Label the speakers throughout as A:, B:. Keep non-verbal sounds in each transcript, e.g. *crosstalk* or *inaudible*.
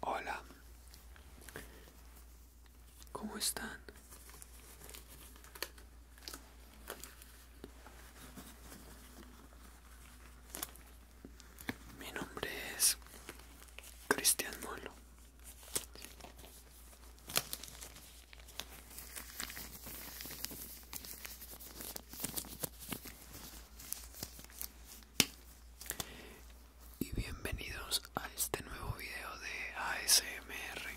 A: Hola, ¿cómo están? Mi nombre es Cristian Molo. Y bienvenidos a este nuevo video de ASMR.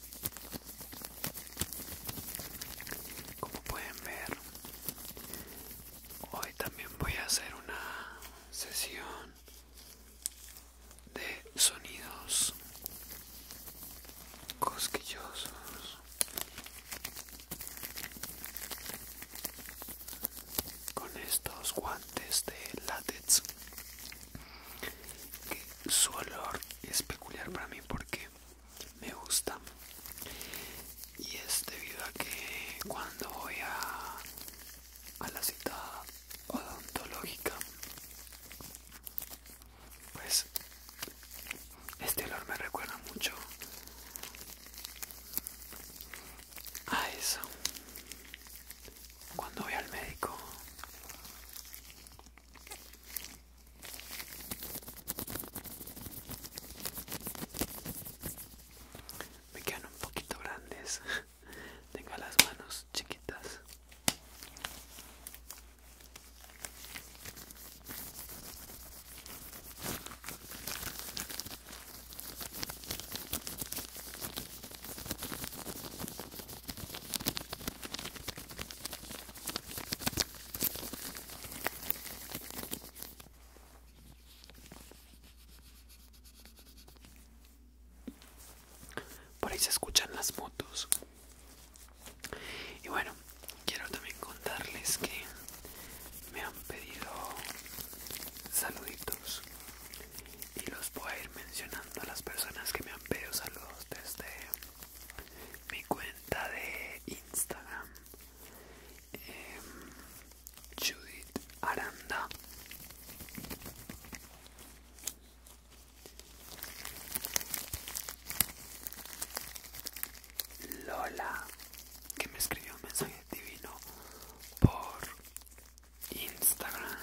A: Como pueden ver, hoy también voy a hacer una sesión de sonidos cosquillosos. Con estos guantes de látex, que su olor es peculiar para mí porque me gusta y es debido a que cuando voy a, a la cita odontológica pues este olor me recuerda mucho a eso cuando voy al médico me quedan un poquito grandes. *laughs* Tengo las manos chiquitas. Por ahí se escuchan las motos. Y bueno, quiero también contarles que me han pedido saluditos y los voy a ir mencionando a las personas que me han pedido saludos desde mi cuenta de Instagram em, Judith Aranda Lola que me escribió un mensaje divino por Instagram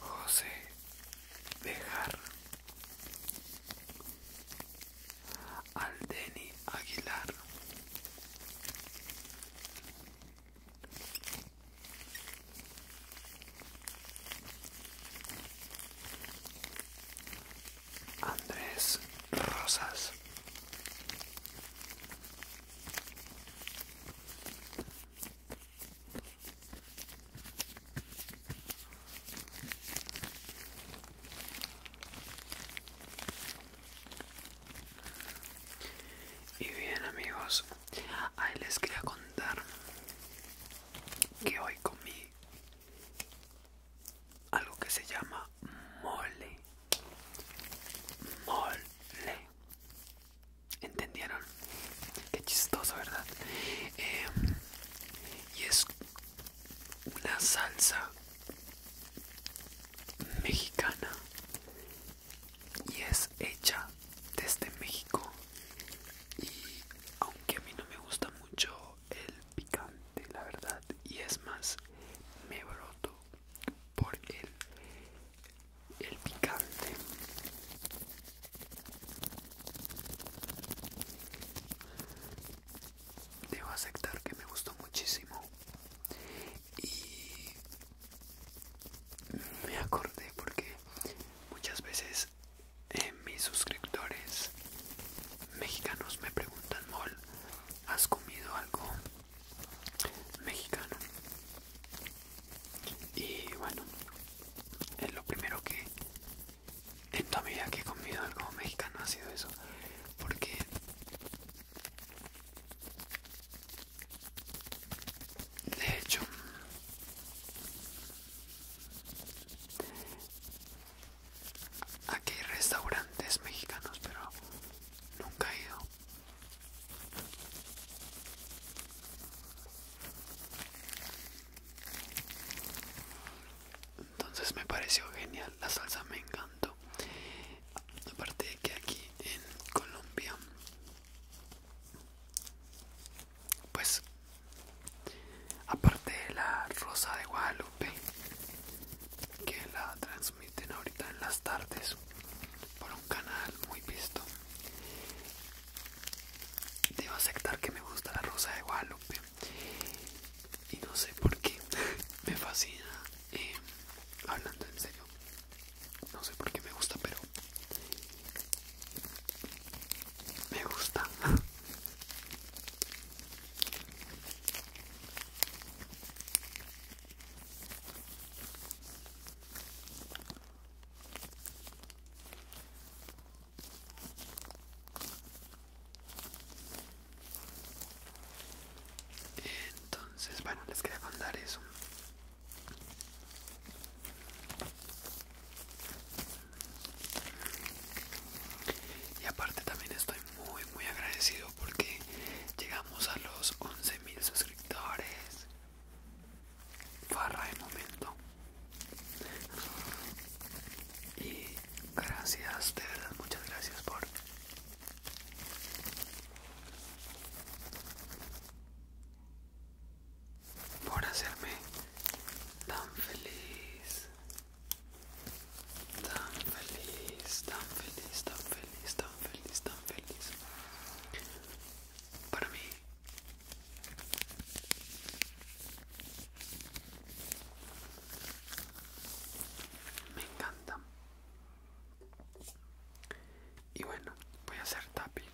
A: José Bejar, Aldeni Aguilar, Andrés Rosas. Y bien amigos, ahí les quería contar que hoy comí algo que se llama mole. Mole. ¿Entendieron? Qué chistoso, ¿verdad? Em, y es una salsa mexicana y es hecha desde México. Y aunque a mí no me gusta mucho el picante, la verdad, y es más, me broto por el el picante debo aceptar que me gustó muchísimo y me acordé porque muchas veces eh, mis suscriptores mexicanos me preguntan mol has comido algo mexicano y bueno es lo primero que en toda mi vida que he comido algo mexicano ha sido eso porque de hecho aquí hay restaurantes mexicanos pero nunca he ido entonces me pareció genial, la salsa me encantó. Aparte de que aquí en Colombia, pues aparte de la rosa de Guadalupe, que la transmiten ahorita en las tardes por canal muy visto. Debo aceptar que me gusta la rosa de Guadalupe. Y no sé por qué *laughs* me fascina. Em, hablando en serio. No sé por qué me gusta, pero... Me gusta. *laughs* Entonces, bueno, les quería mandar eso. Y aparte también estoy muy muy agradecido porque llegamos a los 11.000 suscriptores farra de momento y gracias de verdad muchas gracias por por hacerme tan feliz tan feliz tan feliz tan feliz feliz, feliz, tan feliz. Para mí me encanta. Y bueno, voy a hacer tapping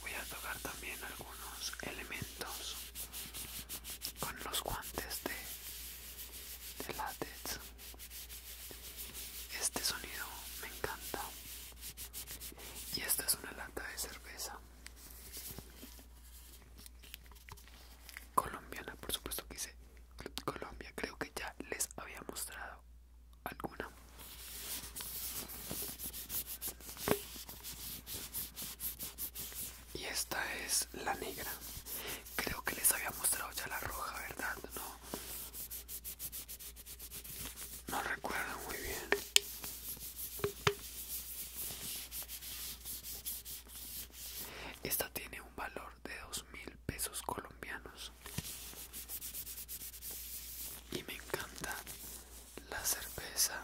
A: voy a tocar también algunos elementos con los guantes de, de este sonido me encanta y esta es una lata de cerveza colombiana por supuesto que hice Colombia creo que ya les había mostrado alguna y esta es la negra. Creo que les había mostrado ya la roja, ¿verdad? No, no recuerdo muy bien. Esta tiene un valor de dos mil pesos colombianos. Y me encanta la cerveza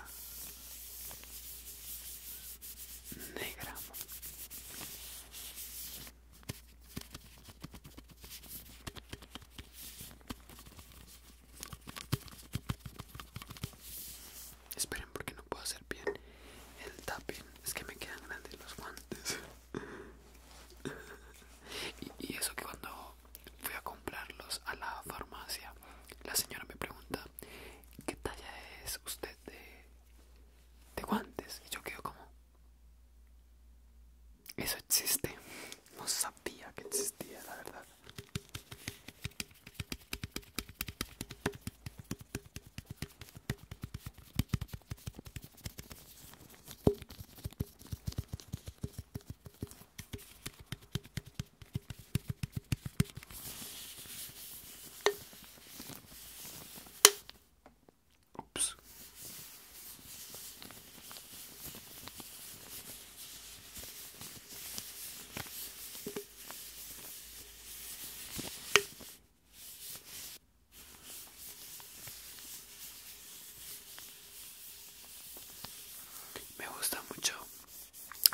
A: negra. Esperen porque no puedo hacer bien el tapping. Es que me quedan grandes los guantes. *laughs* y, y eso que cuando Fui a comprarlos a la farmacia. La señora me pregunta, ¿qué talla es usted de, guantes? Y yo quedo como, eso existe. No sabía que existía, la verdad. Me gusta mucho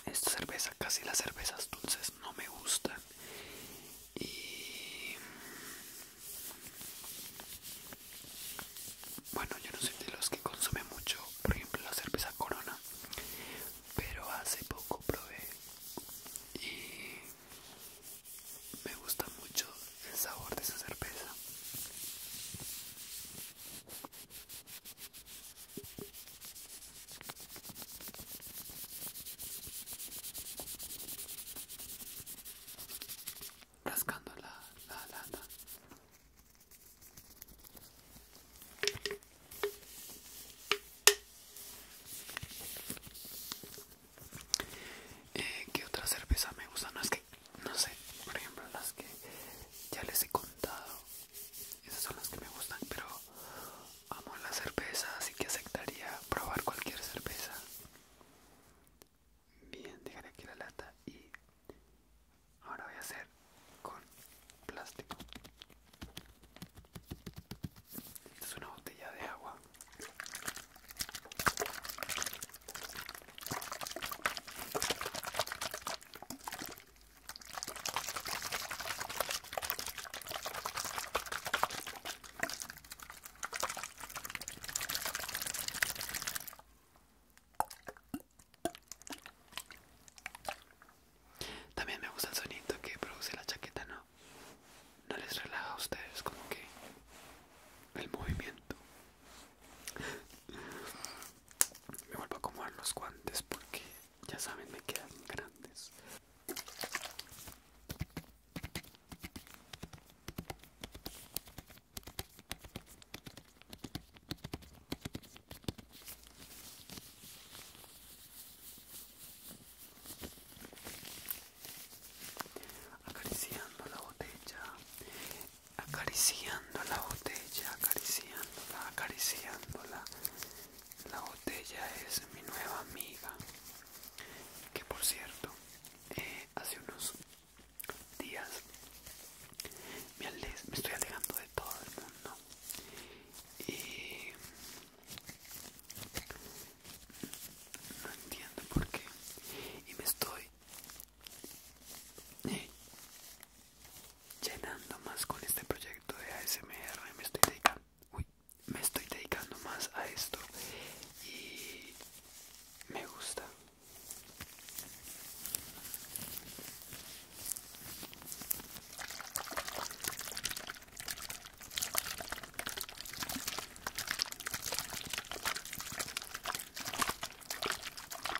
A: esta cerveza casi las cervezas dulces no me gustan y bueno yo no soy de los que consume mucho por ejemplo la cerveza corona pero hace poco probé y me gusta mucho el sabor de esa cerveza rascando la, lata. Eh, ¿Qué otra cerveza me gusta? No es que no sé, por ejemplo las que ya les he contado, esas son las que me gustan, pero amo la cerveza, así que aceptaría probar cualquier cerveza. Bien, dejaré aquí la lata y ahora voy a hacer con plástico. es una botella de agua. También me gusta el sonido que produce la chaqueta, ¿no? No les relaja a ustedes como que el movimiento me vuelvo a acomodar los guantes porque ya saben me quedan grandes acariciando la botella acariciando la botella, la, acariciándola. La botella es mi nueva amiga. Que por cierto, eh, hace unos días me, me estoy alejando de todo el mundo. Y no entiendo por qué. Y me estoy y llenando más con este proyecto de ASMR me estoy dedicando me estoy dedicando más a esto y me gusta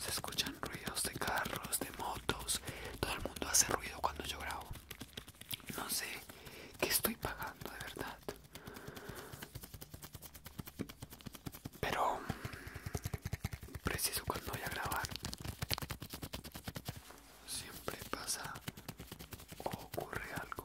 A: Se escuchan ruidos de carros, de motos. Todo el mundo hace ruido cuando yo grabo. No sé qué estoy pagando de verdad. Pero preciso cuando voy a grabar. Siempre pasa o ocurre algo.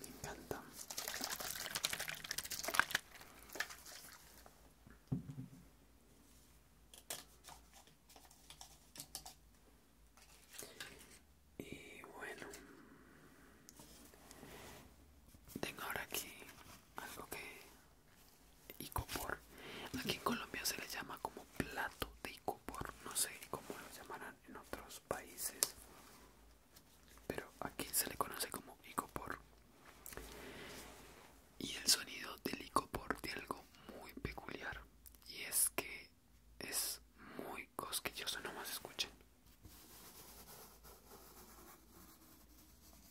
A: Me encanta. Y bueno, tengo ahora aquí algo que Icopor. Aquí en Colombia se le llama como plato de icopor. No sé cómo lo llamarán en otros países. Pero aquí se le conoce como icopor. Y el sonido del icopor tiene algo muy peculiar. Y es que es muy cosquilloso. No más escuchen.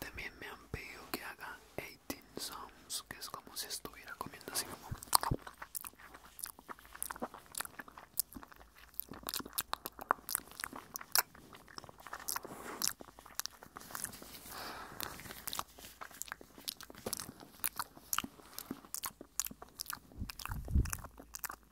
A: También me han pedido que haga 18 sounds, que es como si estuviera comiendo así como.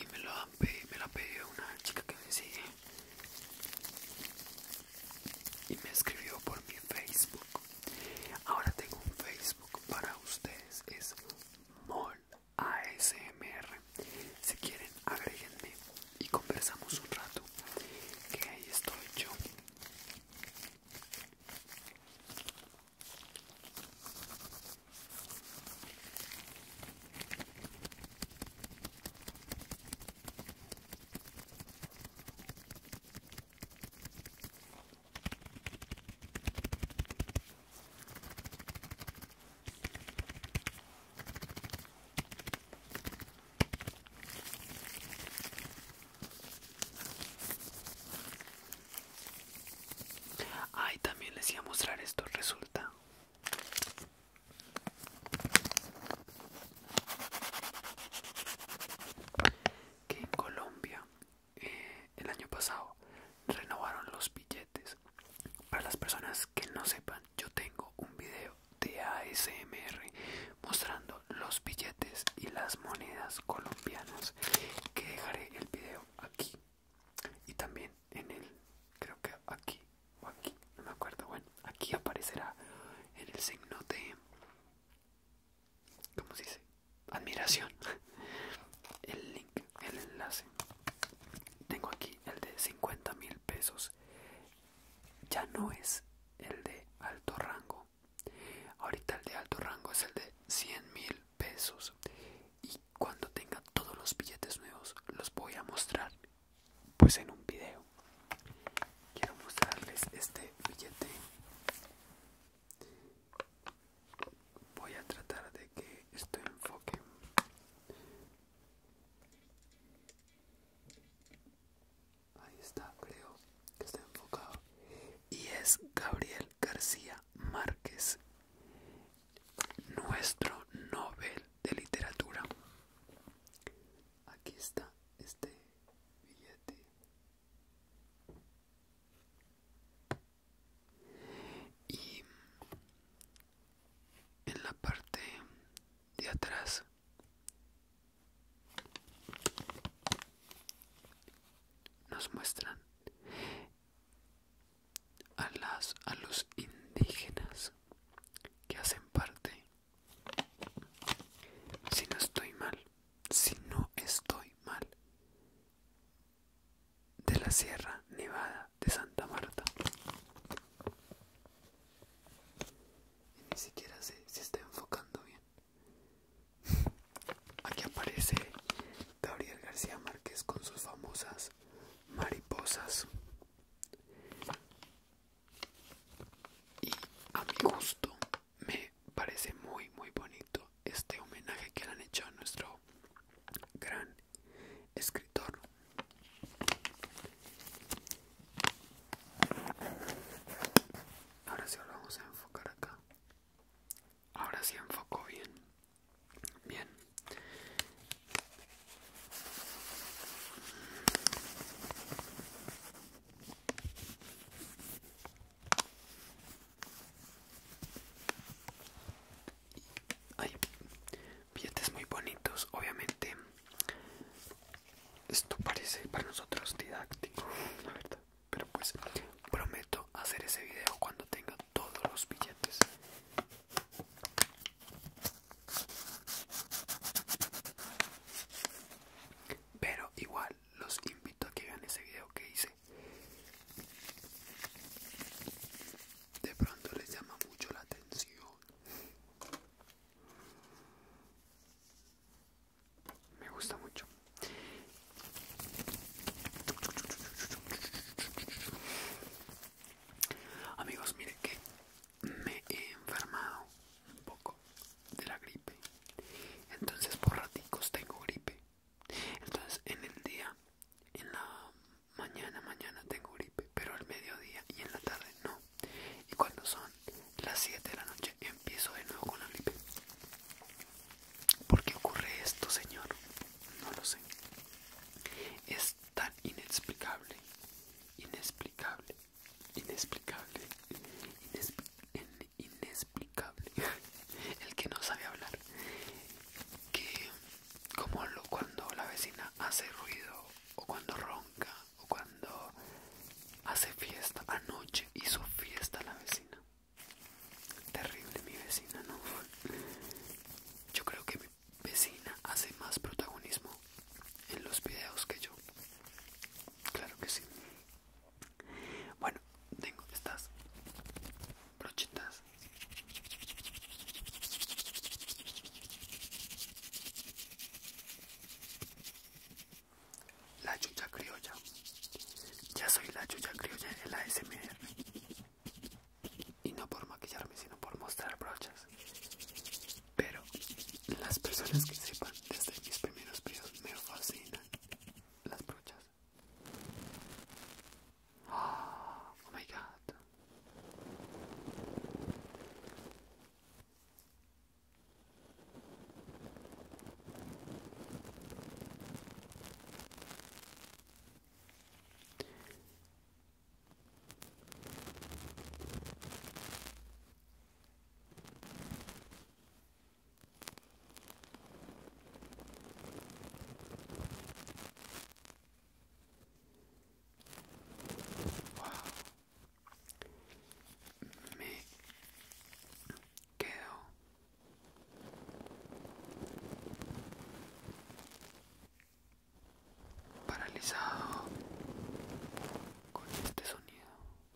A: Y me lo han me una chica que me sigue y me escribió por mi Facebook. Ahora tengo un Facebook para ustedes, es Mol ASMR. Si quieren, agreguenme y conversamos un rato. Que ahí estoy yo. Ay, también les iba a mostrar esto, resulta. Que en Colombia eh, el año pasado renovaron los billetes. Para las personas que no sepan, yo tengo un video de ASMR mostrando los billetes y las monedas colombianas que dejaré el video aquí y también en el creo que aquí o aquí no me acuerdo bueno aquí aparecerá en el signo de ¿Cómo se dice? Admiración. *laughs* El link, el enlace. Tengo aquí el de 50 mil pesos. Ya no es el de alto rango. Ahorita el de alto rango es el de 100 mil pesos. Y cuando tenga todos los billetes nuevos, los voy a mostrar. Pues en un video. Quiero mostrarles este billete voy a tratar de que esto enfoque ahí está creo que está enfocado y es Gabriel García Márquez nuestro Nobel de literatura aquí está este billete y en la parte de atrás nos muestran a las a los indígenas que hacen parte si no estoy mal si no estoy mal de la Sierra Nevada de Santa Marta. ni siquiera sé si está enfocando bien. Aquí aparece Gabriel García Márquez con sus famosas mariposas. Y a mi gusto me parece muy muy bonito este homenaje que le han hecho a nuestro gran escritor ahora sí lo vamos a enfocar acá ahora sí enfoco bien bien hay billetes muy bonitos, obviamente. Esto parece para nosotros didáctico, la verdad. Pero pues prometo hacer ese video cuando tenga todos los billetes. Pero igual los invito a que vean ese video que hice este. de pronto les llama mucho la atención me gusta mucho amigos miren que me he enfermado un poco de la gripe entonces por raticos tengo gripe entonces en el día, en la mañana, mañana tengo gripe, pero al mediodía y en la tarde no. Y cuando son las 7 de la noche empiezo de nuevo con la gripe. ¿Por qué ocurre esto, señor? No lo sé. Es tan inexplicable, inexplicable, inexplicable, inexplicable, inexplicable *laughs* el que no sabe hablar que como cuando la vecina hace ruido o cuando ronca o cuando hace fiesta anoche hizo fiesta la vecina terrible mi vecina no *laughs* yo creo que mi vecina hace más protagonismo en los videos que yo claro que sí bueno, tengo estas brochitas La chucha criolla. Ya soy la chucha criolla en la SMR. Y no por maquillarme, sino por mostrar brochas. Pero las personas que sepan desde mis primeros videos me fascinan las brochas. Oh, oh my god. Me quedo paralizado con este sonido.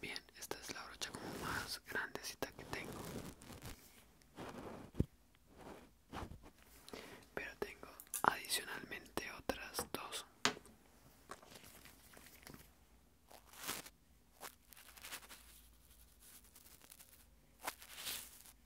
A: Bien, esta es la brocha como más grandecita que tengo. Pero tengo adicionalmente otras dos.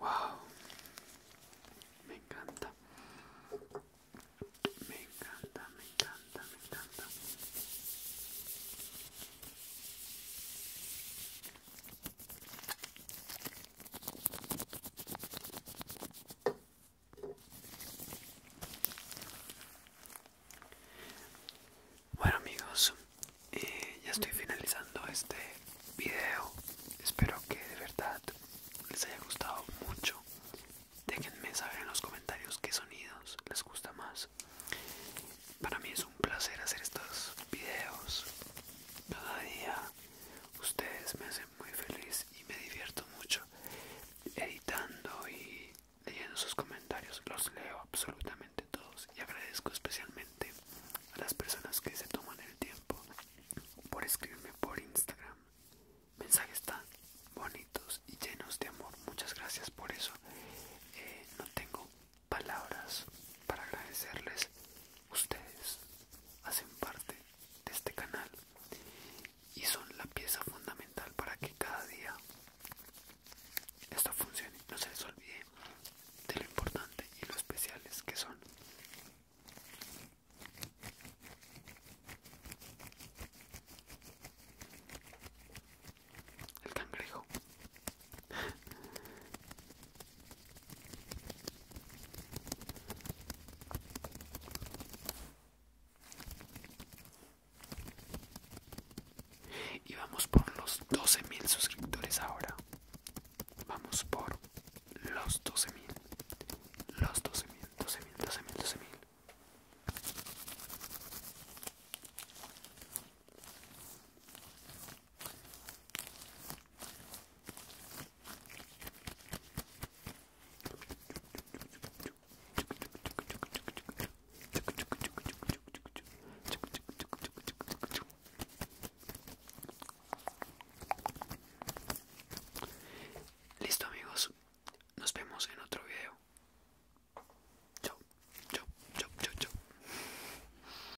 A: Wow, me encanta, me encanta, me encanta, me encanta. Bueno amigos, eh, ya estoy finalizando este video. Espero que de verdad les haya gustado mucho. Déjenme saber en los comentarios qué sonidos les gusta más. Para mí es un placer hacer estos videos Todavía Ustedes me hacen muy feliz y me divierto mucho editando y leyendo sus comentarios. Los leo absolutamente todos y agradezco especialmente a las personas que se toman el tiempo por escribirme por Instagram. Mensajes tan bonitos y llenos de amor. Muchas gracias por eso. Eh, no tengo palabras para agradecerles. Ustedes hacen parte de este canal y son la pieza fundamental para que cada día esto funcione. No se les olvide de lo importante y lo especiales que son. El cangrejo y vamos por los 12.000 suscriptores ahora. Vamos por los 12.000. Los 12.000, 12.000, 12.000, 12.000. Listo amigos, nos vemos en otro video. chao, chao, chao, chao,